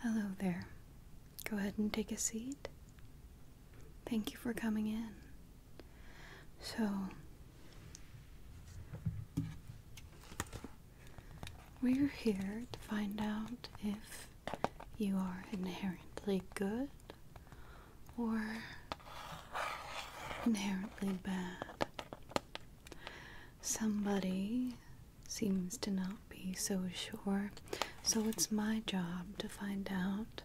Hello there. Go ahead and take a seat. Thank you for coming in. So, we're here to find out if you are inherently good or inherently bad. Somebody seems to not be so sure. So it's my job to find out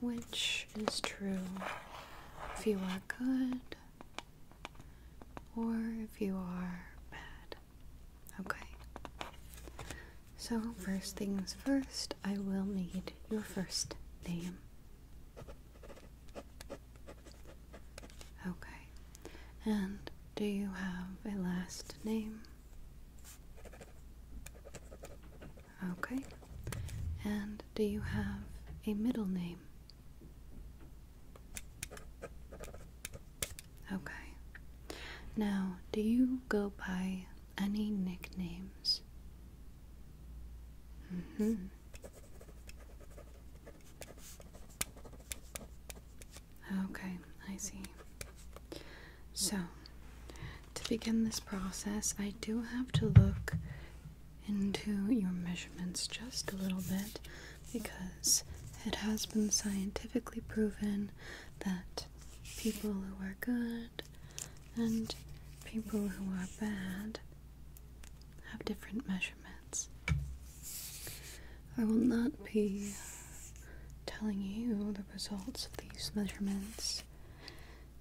which is true. If you are good or if you are bad. Okay. So, first things first, I will need your first name. Okay. And do you have a last name? Okay. And do you have a middle name? Okay. Now, do you go by any nicknames? Mm hmm Okay, I see. So, to begin this process, I do have to look into your measurements just a little bit because it has been scientifically proven that people who are good and people who are bad have different measurements. I will not be telling you the results of these measurements,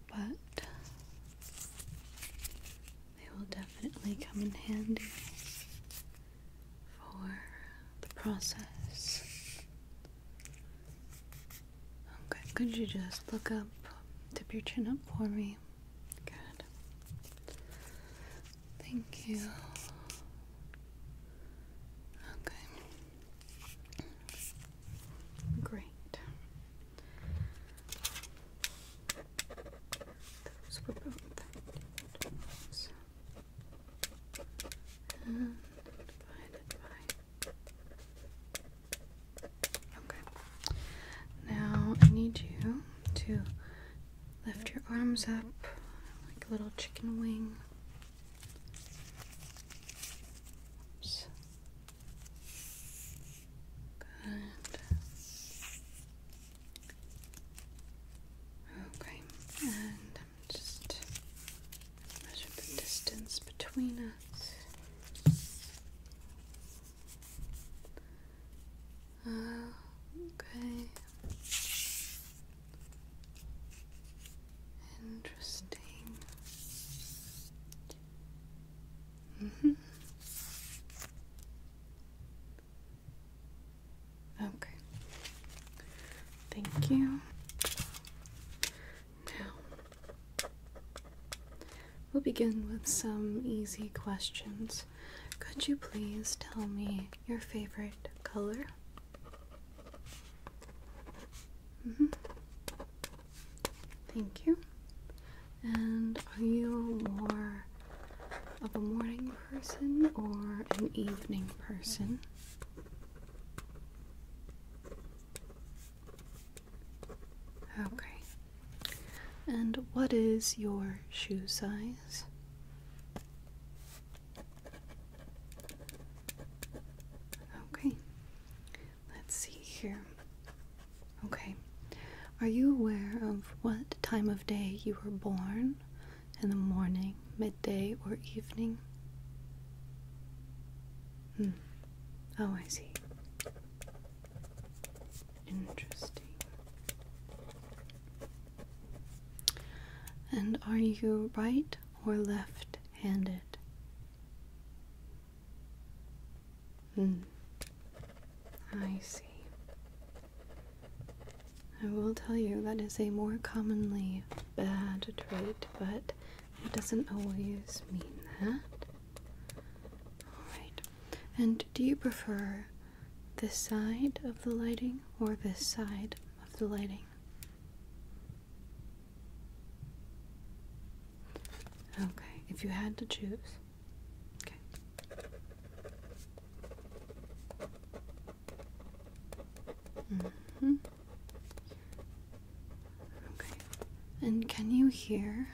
but they will definitely come in handy for the process. Okay, could you just look up, tip your chin up for me? Good. Thank you. Okay. Great. Those were both 30 Okay. Now I need you to Lift your arms up like a little chicken wing. Good. Okay, and I'm just measure the distance between us okay. Interesting. Mm -hmm. Okay. Thank you. Now, we'll begin with some easy questions. Could you please tell me your favorite color? Mm-hmm. Thank you. And are you more of a morning person or an evening person? Okay. And what is your shoe size? Okay, let's see here. Okay, are you aware of what time of day you were born? In the morning, midday, or evening? Hmm. Oh, I see. Interesting. And are you right or left handed? Hmm. I see. I will tell you that is a more commonly bad trait, but it doesn't always mean that. Alright. And do you prefer this side of the lighting or this side of the lighting? Okay, if you had to choose. Okay. Mm-hmm. And can you hear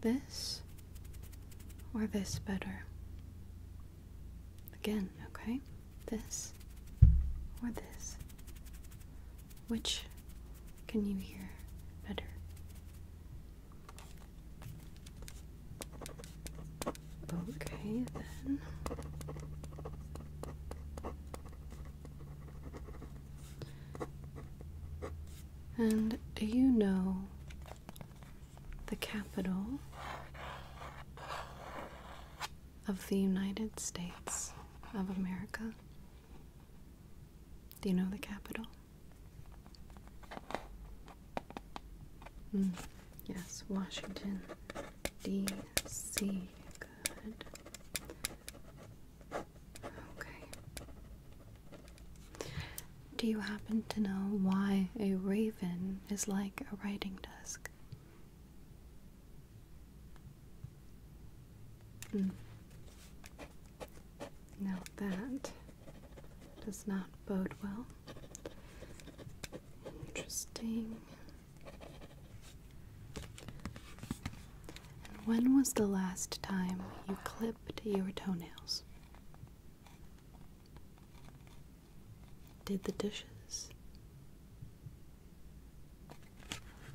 this or this better? Again, okay? This or this? Which can you hear better? Okay, then. And do you know the capital of the United States of America. Do you know the capital? Mm, yes, Washington, D.C. Good. Okay. Do you happen to know why a raven is like a writing desk? Hmm. Now that does not bode well. Interesting. when was the last time you clipped your toenails? Did the dishes.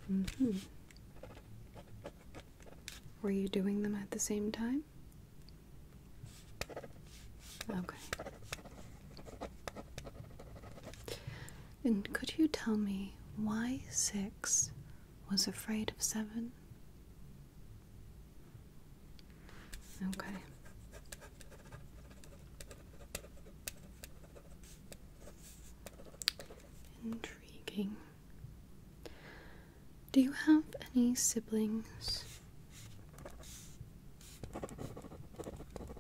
hmm. Were you doing them at the same time? Okay. And could you tell me why six was afraid of seven? Okay. Intriguing. Do you have any siblings?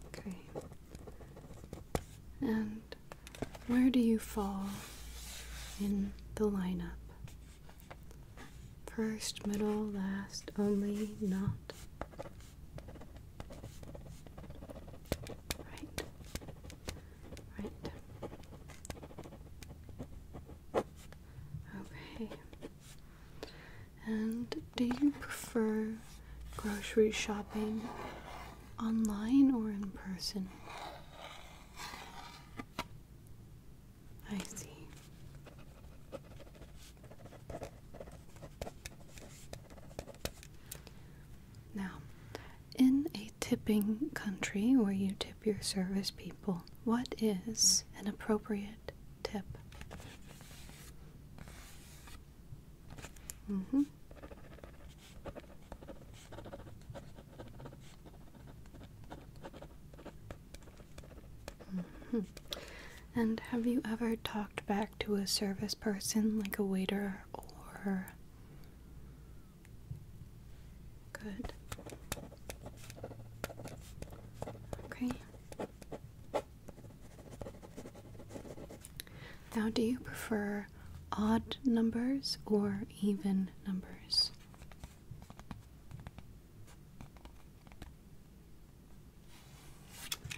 Okay. And where do you fall in the lineup? First, middle, last, only, not. Right. Right. Okay. And do you prefer grocery shopping online or in person? I see. Now, in a tipping country where you tip your service people, what is an appropriate tip? Mm hmm. Mm-hmm. And have you ever talked back to a service person, like a waiter or. Good. Okay. Now, do you prefer odd numbers or even numbers?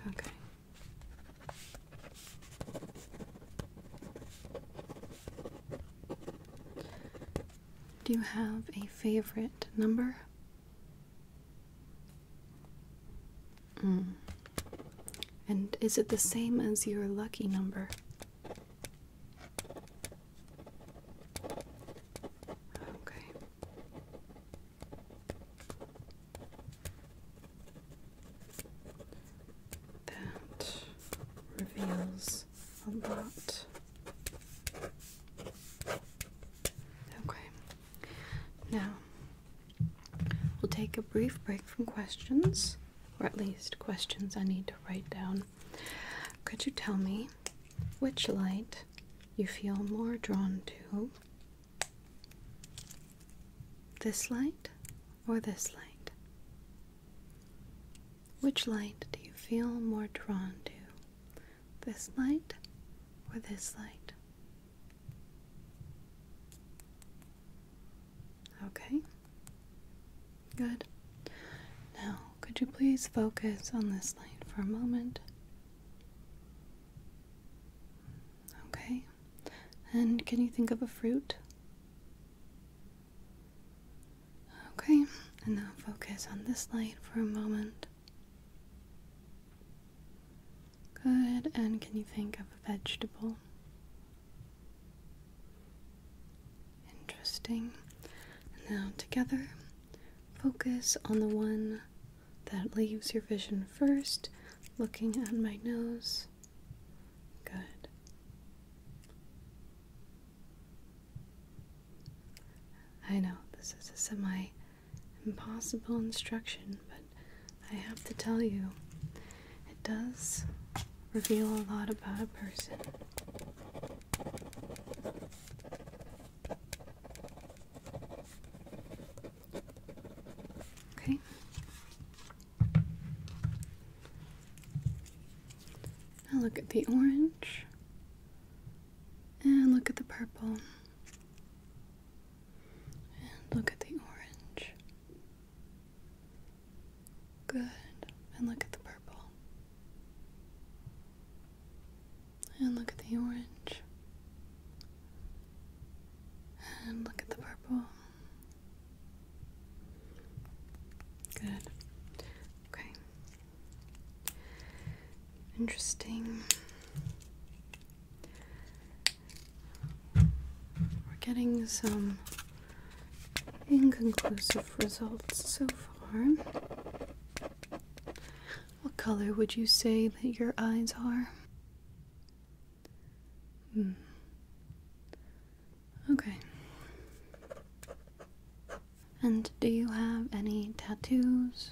Okay. Do you have a favorite number? Mm. And is it the same as your lucky number? Okay. That reveals a lot. Okay. Now, we'll take a brief break from questions, or at least questions I need to write down could you tell me which light you feel more drawn to? This light or this light? Which light do you feel more drawn to? This light or this light? Okay. Good. Now, could you please focus on this light for a moment? Okay. And can you think of a fruit? Okay. And now focus on this light for a moment. Good. And can you think of a vegetable? Interesting. now together, focus on the one that leaves your vision first, looking at my nose. Good. I know this is a semi impossible instruction, but I have to tell you it does reveal a lot about a person. Okay. Now look at the orange and look at the purple and look at the orange. Good. And look at the purple. And look at the orange. And look at the purple. Good. Okay. Interesting. We're getting some Inconclusive results so far. What color would you say that your eyes are? Hmm. Okay. And do you have any tattoos?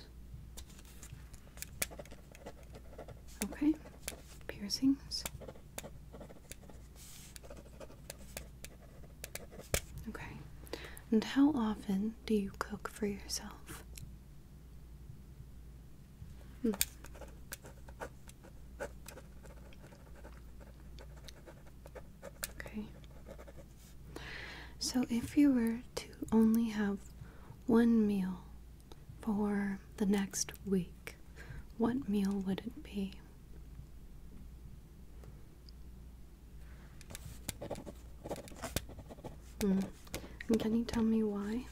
Okay. Piercings? Okay. And how often do you cook for yourself? Hmm. Okay. So if you were to only have one meal for the next week, what meal would it be? Hmm. And can you tell me why?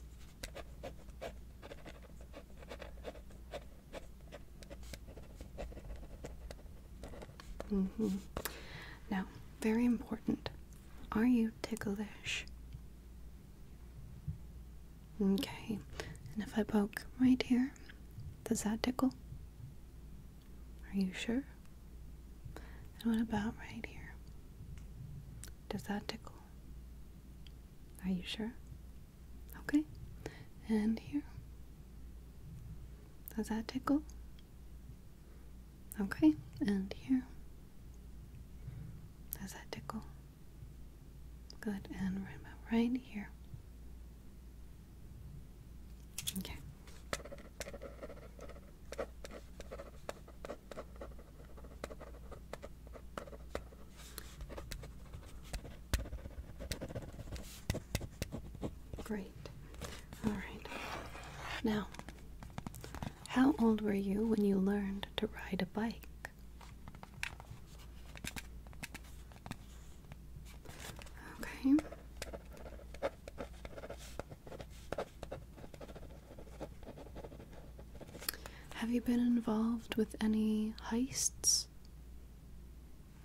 Mm-hmm. Now, very important. Are you ticklish? Okay, and if I poke right here, does that tickle? Are you sure? And what about right here? Does that tickle? Are you sure? Okay, and here? Does that tickle? Okay, and here? Does that tickle? Good, and right about right here. Okay. Great. All right. Now, how old were you when you learned to ride a bike? Okay. Have you been involved with any heists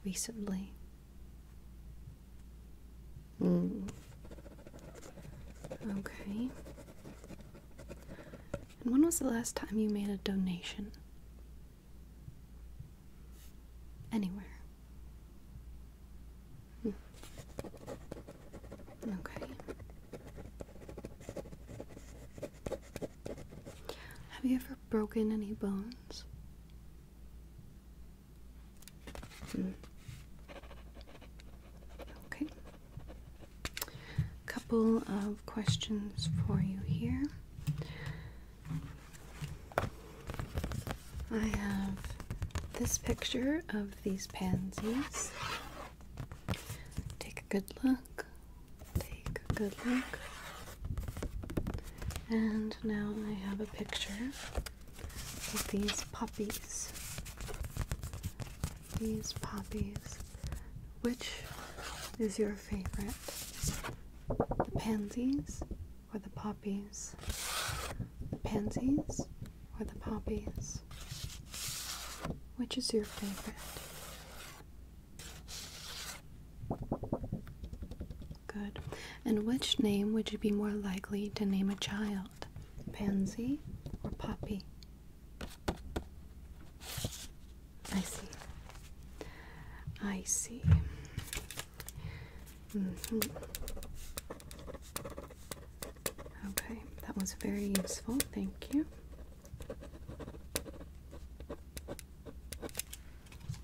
recently? Mm. Okay. And when was the last time you made a donation? Anywhere. Hmm. Okay. Have you ever broken any bones? Hmm. Okay couple of questions for you here. I have this picture of these pansies. Take a good look. Take a good look. And now I have a picture of these poppies these poppies. Which is your favorite? The pansies or the poppies? The pansies or the poppies? Which is your favorite? Good. And which name would you be more likely to name a child? Pansy or poppy? I see. I see. Mm-hmm. Okay, that was very useful. Thank you.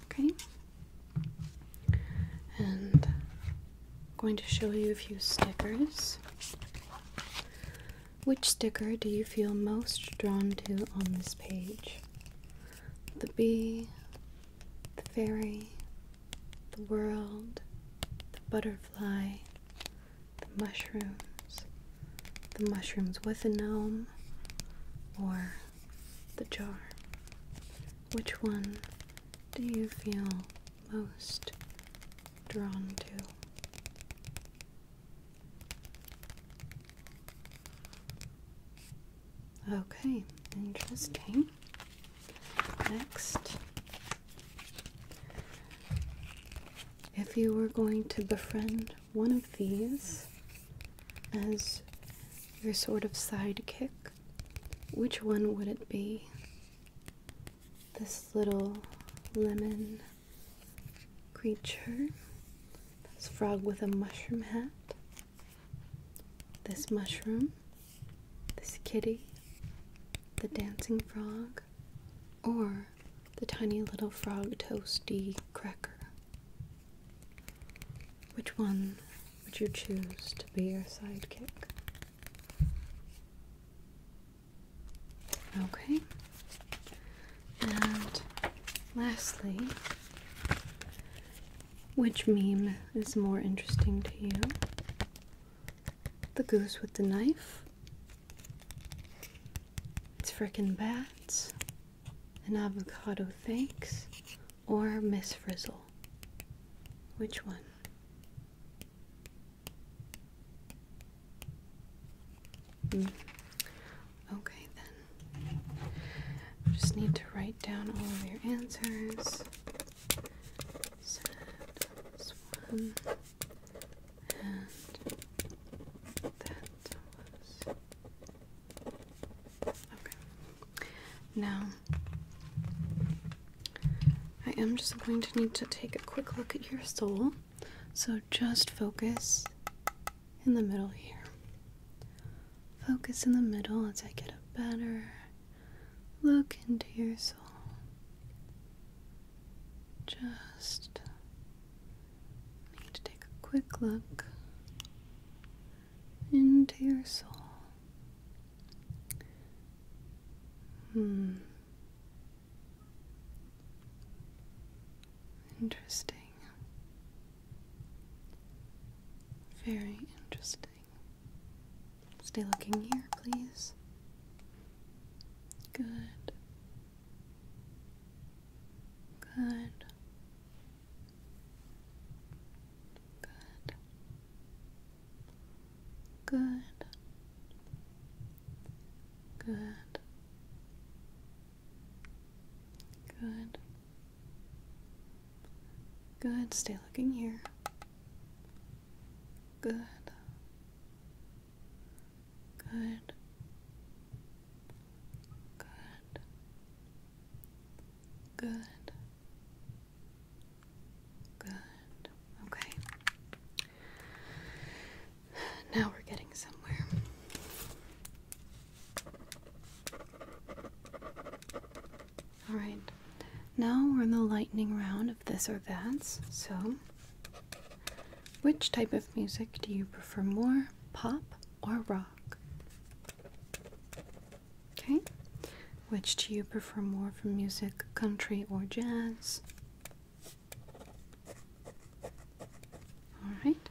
Okay. And I'm going to show you a few stickers. Which sticker do you feel most drawn to on this page? The bee, the fairy, the world, the butterfly, the mushrooms, the mushrooms with a gnome, or the jar? Which one do you feel most drawn to? Okay, interesting. Next, if you were going to befriend one of these as your sort of sidekick, which one would it be? This little lemon creature. This frog with a mushroom hat. This mushroom. This kitty. The dancing frog. Or the tiny little frog toasty cracker. Which one would you choose to be your sidekick? Okay. And lastly, which meme is more interesting to you? The goose with the knife? It's frickin' bats? An avocado thanks? Or Miss Frizzle? Which one? Hmm. Okay, then. I just need to write down all of your answers. Set this one, and that was. Okay. Now, I am just going to need to take a quick look at your soul. So just focus in the middle here. Focus in the middle as I get a better look into your soul. Just need to take a quick look into your soul. Hmm. Interesting. Very interesting. Stay looking here, please. Good. Good. Good. Good. Good. Good. Good. Stay looking here. Good. Good. Good. Good. Good. Okay. Now we're getting somewhere. All right. Now we're in the lightning round of this or that. So, which type of music do you prefer more, pop or rock? Okay. Which do you prefer more from music, country or jazz? Alright.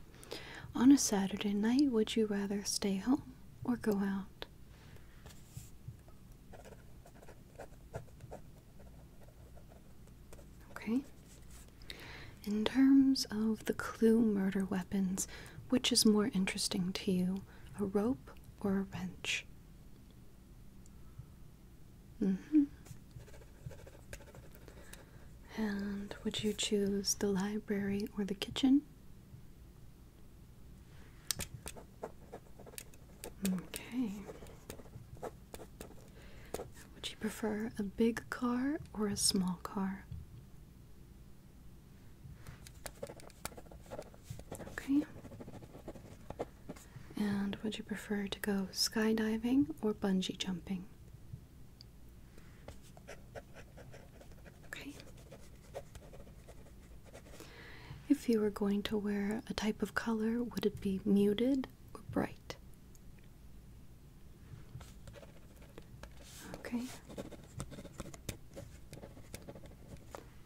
On a Saturday night, would you rather stay home or go out? Okay. In terms of the clue murder weapons, which is more interesting to you, a rope or a wrench? Mm hmm. And would you choose the library or the kitchen? Okay. Would you prefer a big car or a small car? Okay. And would you prefer to go skydiving or bungee jumping? Okay. If you were going to wear a type of color, would it be muted or bright? Okay.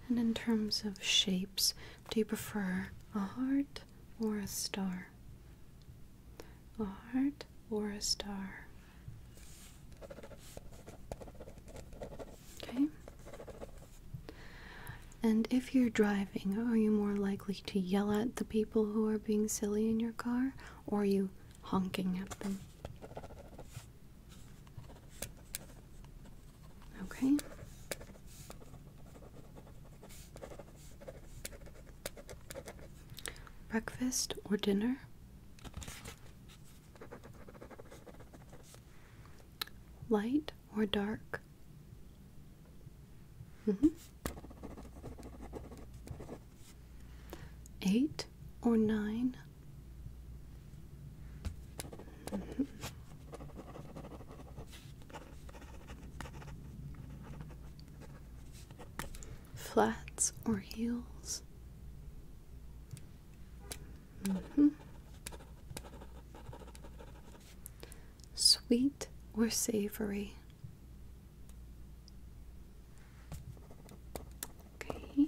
And in terms of shapes, do you prefer a heart or a star? A heart or a star? Okay. And if you're driving, are you more likely to yell at the people who are being silly in your car, or are you honking at them? Okay. Breakfast or dinner? Light or dark? Mm -hmm. Eight or nine? Flats or heels? -hmm. Sweet or savory? Okay.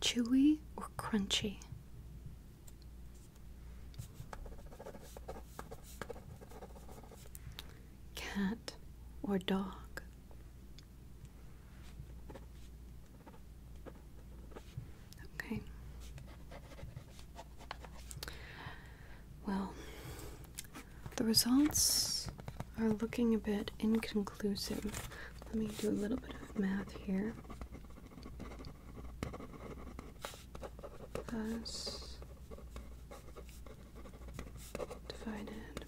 Chewy or crunchy? Cat or dog? Okay. Well, the results are looking a bit inconclusive. Let me do a little bit of math here. Plus divided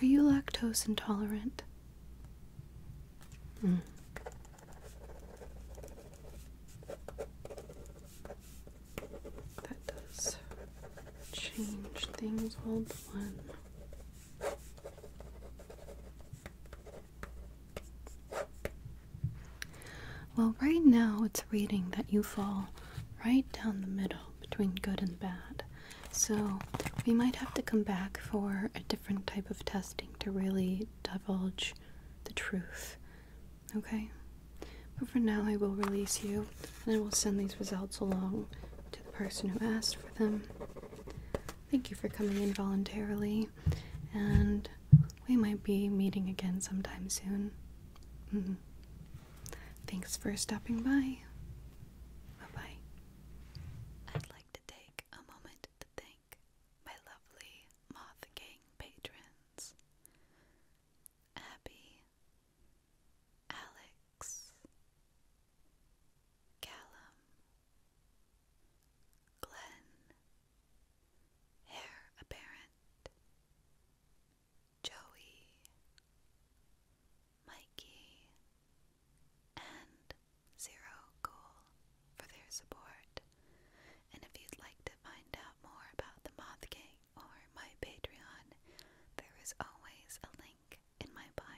Are you lactose intolerant? Mm that does change things. Hold one. Well, right now it's reading that you fall right down the middle between good and bad. So we might have to come back for a different type of testing to really divulge the truth. Okay? But for now, I will release you and I will send these results along to the person who asked for them. Thank you for coming in voluntarily, and we might be meeting again sometime soon. Mm-hmm. Thanks for stopping by. Bye bye. I'd like to take a moment to thank my lovely Moth Gang patrons friends Abby, Alex, Callum, Glenn, Hair Apparent, Joey, Mikey, and Zero Cool for their support. And if you'd like to find out more about the Moth Gang or my Patreon, there is always a link in my bio.